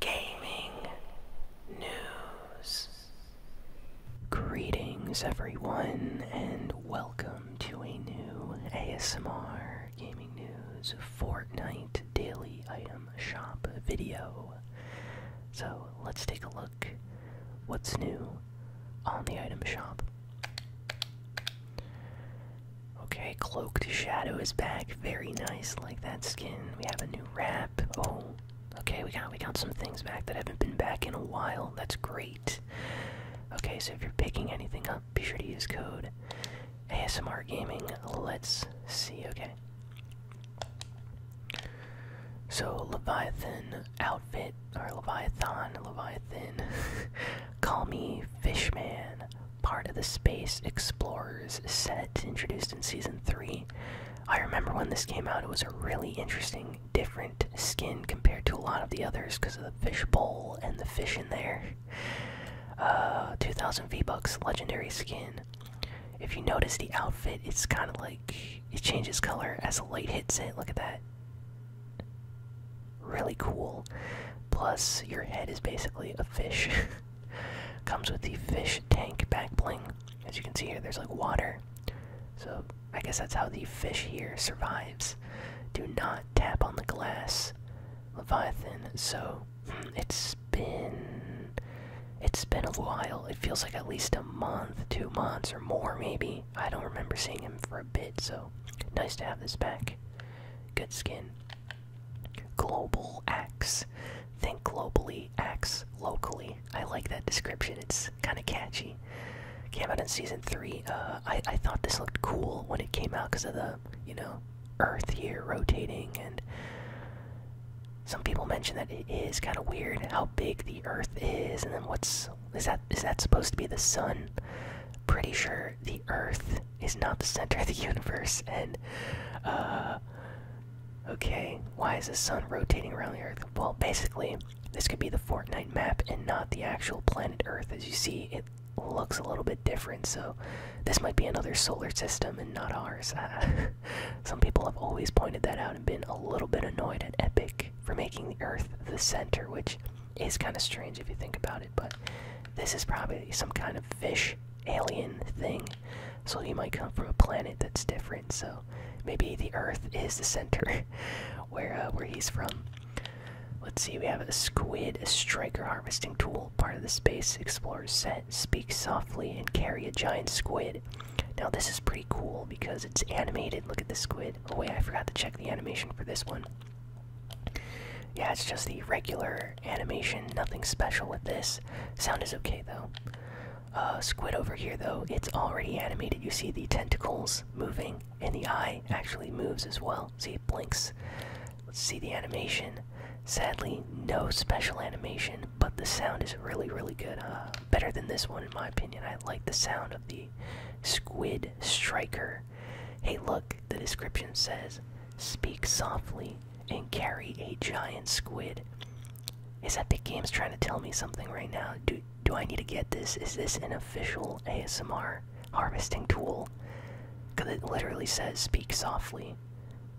gaming news. Greetings, everyone, and welcome to a new ASMR Gaming News Fortnite Daily Item Shop video. So, let's take a look what's new on the item shop. Okay, Cloaked Shadow is back. Very nice, like that skin. We have a new wrap. Oh, okay, we got we got some things back that haven't been back in a while. That's great. Okay, so if you're picking anything up, be sure to use code ASMR Gaming. Let's see. Okay. So Leviathan outfit or Leviathan, Leviathan. Call me Fishman part of the Space Explorers set introduced in Season 3. I remember when this came out, it was a really interesting, different skin compared to a lot of the others because of the fish bowl and the fish in there. Uh, 2000 V-Bucks legendary skin. If you notice the outfit, it's kind of like it changes color as the light hits it. Look at that. Really cool. Plus, your head is basically a fish. Comes with the fish tank back bling. As you can see here, there's like water. So I guess that's how the fish here survives. Do not tap on the glass, Leviathan. So hmm, it's been it's been a while. It feels like at least a month, two months or more maybe. I don't remember seeing him for a bit, so nice to have this back. Good skin. Global X. Think globally, X locally. I like that description. It's kind of catchy. Came out in season three. Uh, I I thought this looked cool when it came out because of the you know Earth here rotating, and some people mentioned that it is kind of weird how big the Earth is, and then what's is that is that supposed to be the sun? Pretty sure the Earth is not the center of the universe and uh, okay why is the sun rotating around the earth well basically this could be the fortnite map and not the actual planet earth as you see it looks a little bit different so this might be another solar system and not ours some people have always pointed that out and been a little bit annoyed at epic for making the earth the center which is kind of strange if you think about it but this is probably some kind of fish alien thing. So he might come from a planet that's different. So maybe the Earth is the center where uh, where he's from. Let's see. We have a squid, a striker harvesting tool, part of the space explorer's set. Speak softly and carry a giant squid. Now this is pretty cool because it's animated. Look at the squid. Oh wait, I forgot to check the animation for this one. Yeah, it's just the regular animation, nothing special with this. Sound is okay though. Uh, squid over here though, it's already animated. You see the tentacles moving, and the eye actually moves as well. See, it blinks. Let's see the animation. Sadly, no special animation, but the sound is really, really good. Uh, better than this one, in my opinion. I like the sound of the squid striker. Hey, look, the description says, Speak softly and carry a giant squid. Is that Epic Games trying to tell me something right now? Do, do I need to get this? Is this an official ASMR harvesting tool? Because it literally says, Speak softly.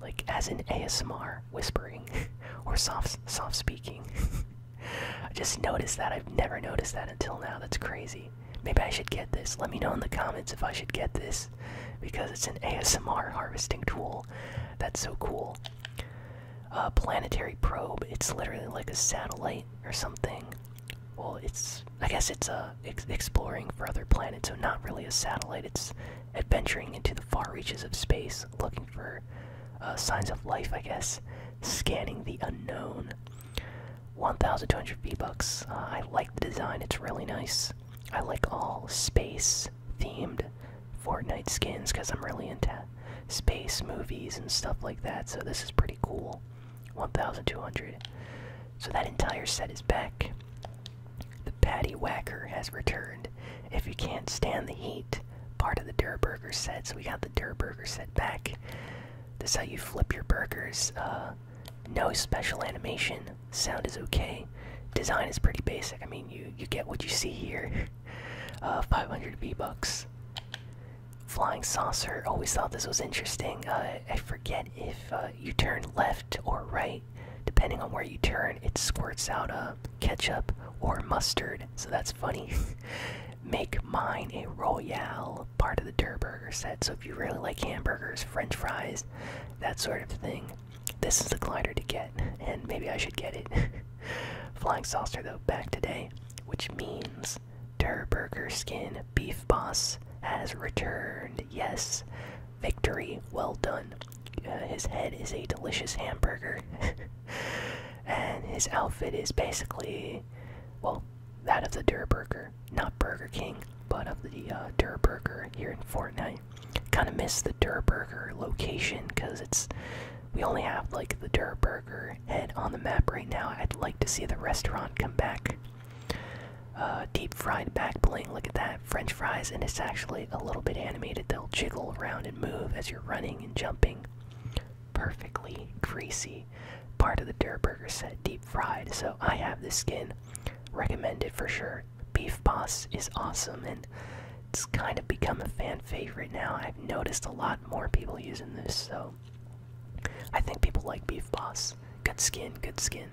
Like, as in ASMR whispering or soft, soft speaking. I just noticed that. I've never noticed that until now. That's crazy. Maybe, I should get this. Let me know in the comments if I should get this because it's an ASMR harvesting tool. That's so cool. A planetary probe. It's literally like a satellite or something. Well, it's I guess it's uh, exploring for other planets, so not really a satellite. It's adventuring into the far reaches of space, looking for uh, signs of life. I guess scanning the unknown. 1200 V-Bucks. Uh, I like the design, it's really nice. I like all space themed Fortnite skins because I'm really into space movies and stuff like that, so this is pretty cool. 1200. So that entire set is back. The Patty Whacker has returned. If you can't stand the heat, part of the Durburger set, so we got the Durburger set back. This how you flip your burgers. Uh, no special animation. Sound is okay. Design is pretty basic. I mean, you you get what you see here. Uh, 500 V bucks. Flying saucer. Always thought this was interesting. Uh, I forget if uh, you turn left or right, depending on where you turn, it squirts out a ketchup or mustard. So that's funny. Make mine a royale part of the Durburger set. So if you really like hamburgers, French fries, that sort of thing, this is the glider to get, and maybe I should get it. Flying saucer though back today, which means Durburger skin beef boss has returned. Yes, victory. Well done. Uh, his head is a delicious hamburger, and his outfit is basically, well, that of the Durburger not Burger King, but of the uh, here in Fortnite. Kind of miss the Dur location because it's we only have like the Dur and on the map right now. I'd like to see the restaurant come back. Uh, deep fried back bling, look at that. French fries, and it's actually a little bit animated. They'll jiggle around and move as you're running and jumping. Perfectly greasy part of the Durburger set deep fried. So I have this skin. Recommend it for sure. Beef Boss is awesome and it's kind of become a fan favorite now. I've noticed a lot more people using this, so I think people like Beef Boss. Good skin, good skin.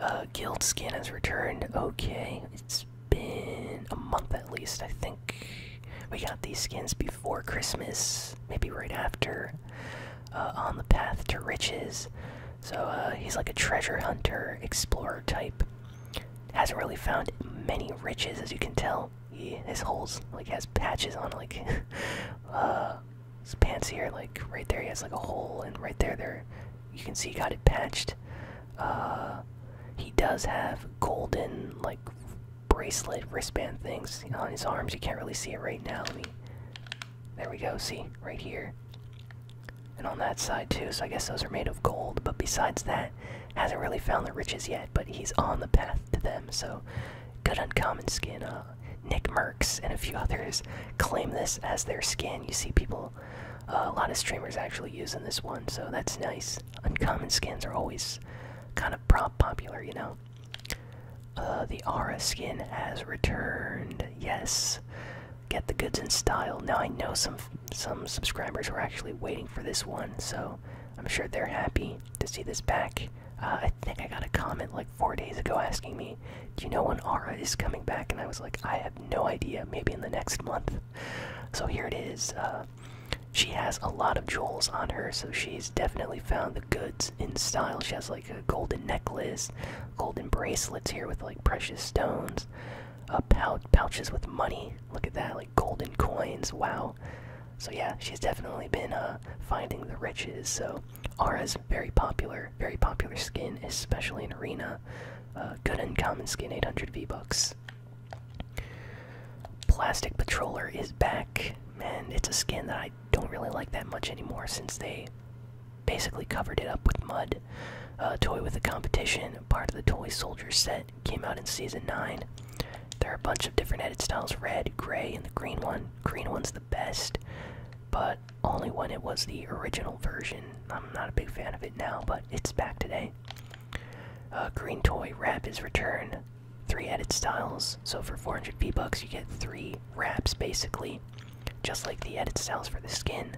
Uh, Guild skin has returned. Okay, it's been a month at least. I think we got these skins before Christmas, maybe right after. Uh, on the path to riches. So uh, he's like a treasure hunter, explorer type. Hasn't really found many riches, as you can tell. He, has holes like has patches on like uh, his pants here. Like right there, he has like a hole, and right there, there you can see he got it patched. Uh, he does have golden like bracelet wristband things on his arms. You can't really see it right now. There we go. See right here. And on that side too. So I guess those are made of gold. But besides that, hasn't really found the riches yet. But he's on the path to them. So good uncommon skin. Uh, Nick Merckx and a few others claim this as their skin. You see people. Uh, a lot of streamers actually using this one, so that's nice. Uncommon skins are always kind of prop popular, you know. Uh, the Aura skin has returned. Yes, get the goods in style. Now I know some some subscribers were actually waiting for this one, so I'm sure they're happy to see this back. Uh, I think I got a comment like four days ago asking me, "Do you know when Aura is coming back?" And I was like, "I have no idea. Maybe in the next month." So here it is. Uh, she has a lot of jewels on her, so she's definitely found the goods in style. She has like a golden necklace, golden bracelets here with like precious stones, uh, pouches with money. Look at that, like golden coins. Wow. So yeah, she's definitely been uh, finding the riches. So Ara's very popular, very popular skin, especially in arena. Uh, good uncommon skin, 800 V bucks. Plastic Patroller is back and it's a skin that I don't really like that much anymore since they basically covered it up with mud. Uh, toy with a competition, part of the Toy Soldier set, came out in season 9. There are a bunch of different edit styles red, gray, and the green one. Green one's the best, but only when it was the original version. I'm not a big fan of it now, but it's back today. Uh, green Toy Rap is return three edit styles. So for 400 P bucks, you get three wraps basically, just like the edit styles for the skin.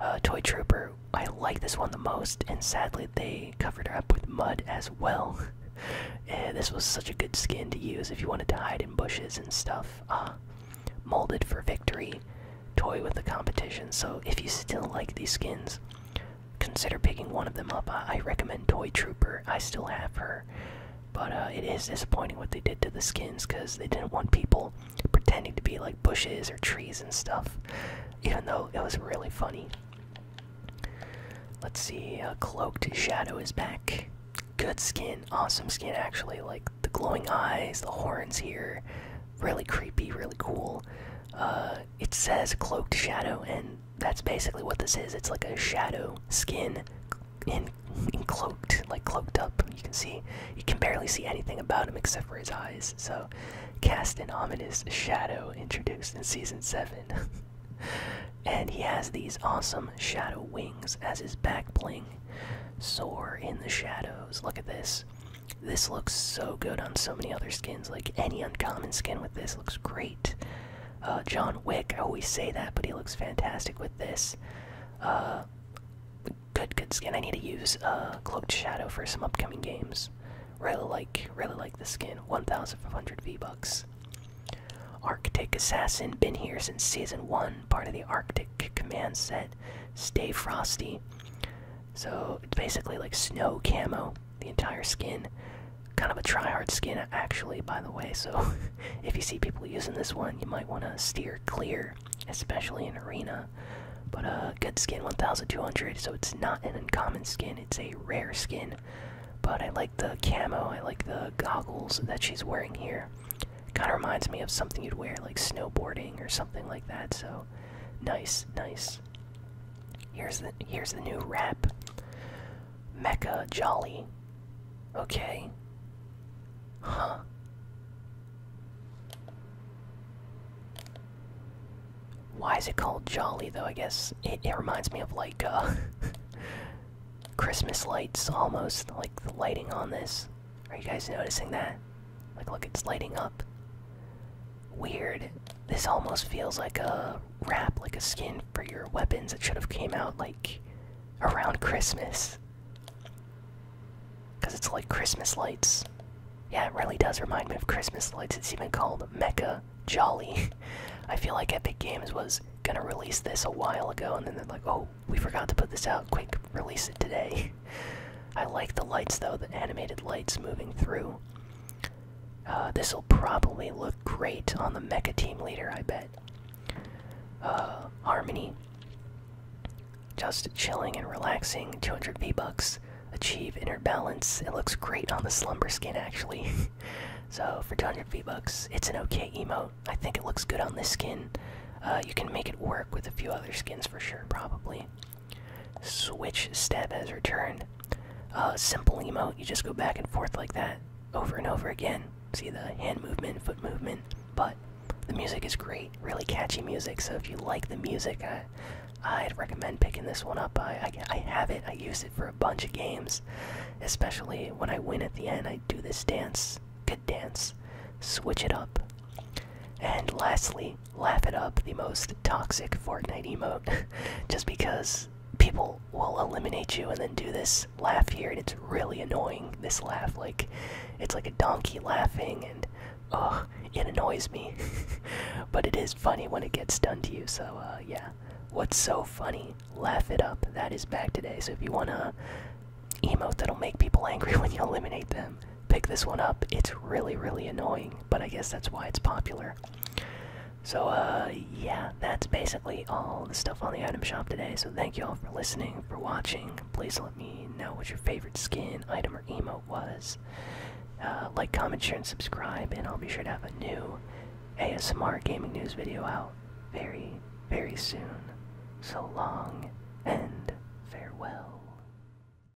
Uh, toy Trooper, I like this one the most, and sadly they covered her up with mud as well. yeah, this was such a good skin to use if you wanted to hide in bushes and stuff. Ah, molded for victory, toy with the competition. So if you still like these skins, consider picking one of them up. I, recommend Toy Trooper. I still have her, but uh, it is disappointing what they did to the skins because they didn't want people pretending to be like bushes or trees and stuff. Even though it was really funny. Let's see. Uh, Cloaked Shadow is back. Good skin, awesome skin actually. Like the glowing eyes, the horns here, really creepy, really cool. Uh, it says Cloaked Shadow, and that's basically what this is. It's like a shadow skin in, cloaked, like cloaked up. You can see, you can barely see anything about him except for his eyes. So, cast an ominous shadow introduced in season seven. and he has these awesome shadow wings as his back bling. Soar in the shadows. Look at this. This looks so good on so many other skins. Like any uncommon skin with this looks great. Uh, John Wick, I always say that, but he looks fantastic with this. Uh, good, good skin. I need to use uh, Cloaked Shadow for some upcoming games. Really like, really like the skin. 1,500 V bucks. Arctic Assassin, been here since season one. Part of the Arctic command set. Stay frosty. So basically like snow camo the entire skin. Kind of a try-hard skin, actually, by the way. So, if you see people using this one, you might want to steer clear, especially in arena. But a uh, good skin, 1,200. So it's not an uncommon skin; it's a rare skin. But I like the camo. I like the goggles that she's wearing here. Kind of reminds me of something you'd wear, like snowboarding or something like that. So, nice, nice. Here's the here's the new rap. Mecca Jolly. Okay. Huh. Why is it called Jolly though? I guess it, it reminds me of like uh, Christmas lights almost like the lighting on this. Are you guys noticing that? Like look it's lighting up weird. This almost feels like a wrap, like a skin for your weapons that should have came out like around Christmas. Cause it's like Christmas lights. Yeah, it really does remind me of Christmas lights. It's even called Mecha Jolly. I feel like Epic Games was gonna release this a while ago, and then they're like, oh, we forgot to put this out. Quick, release it today. I like the lights though, the animated lights moving through. Uh, this will probably look great on the Mecha Team Leader, I bet. Uh, Harmony. Just chilling and relaxing, 200 V-Bucks. Achieve inner balance. It looks great on the Slumber skin, actually. so, for 200 V-Bucks, it's an okay emote. I think it looks good on this skin. Uh, you can make it work with a few other skins for sure, probably. Switch step has returned. simple emote, you just go back and forth like that over and over again. See the hand movement, foot movement, but the music is great, really catchy music. So if you like the music, I, would recommend picking this one up. I, I, I have it, I use it for a bunch of games, especially when I win at the end. I do this dance, good dance, switch it up. And lastly, laugh it up the most toxic Fortnite emote just because people will eliminate you and then do this laugh here and it's really annoying this laugh like it's like a donkey laughing and oh it annoys me but it is funny when it gets done to you so uh, yeah what's so funny laugh it up that is back today so if you want to emote that'll make people angry when you eliminate them pick this one up. It's really, really annoying, but I guess that's why it's popular. So, uh, yeah, that's basically all the stuff on the item shop today. So, thank you all for listening, for watching. Please let me know what your favorite skin, item, or emote was. Uh, like, comment, share, and subscribe, and I'll be sure to have a new ASMR gaming news video out very, very soon. So long and farewell.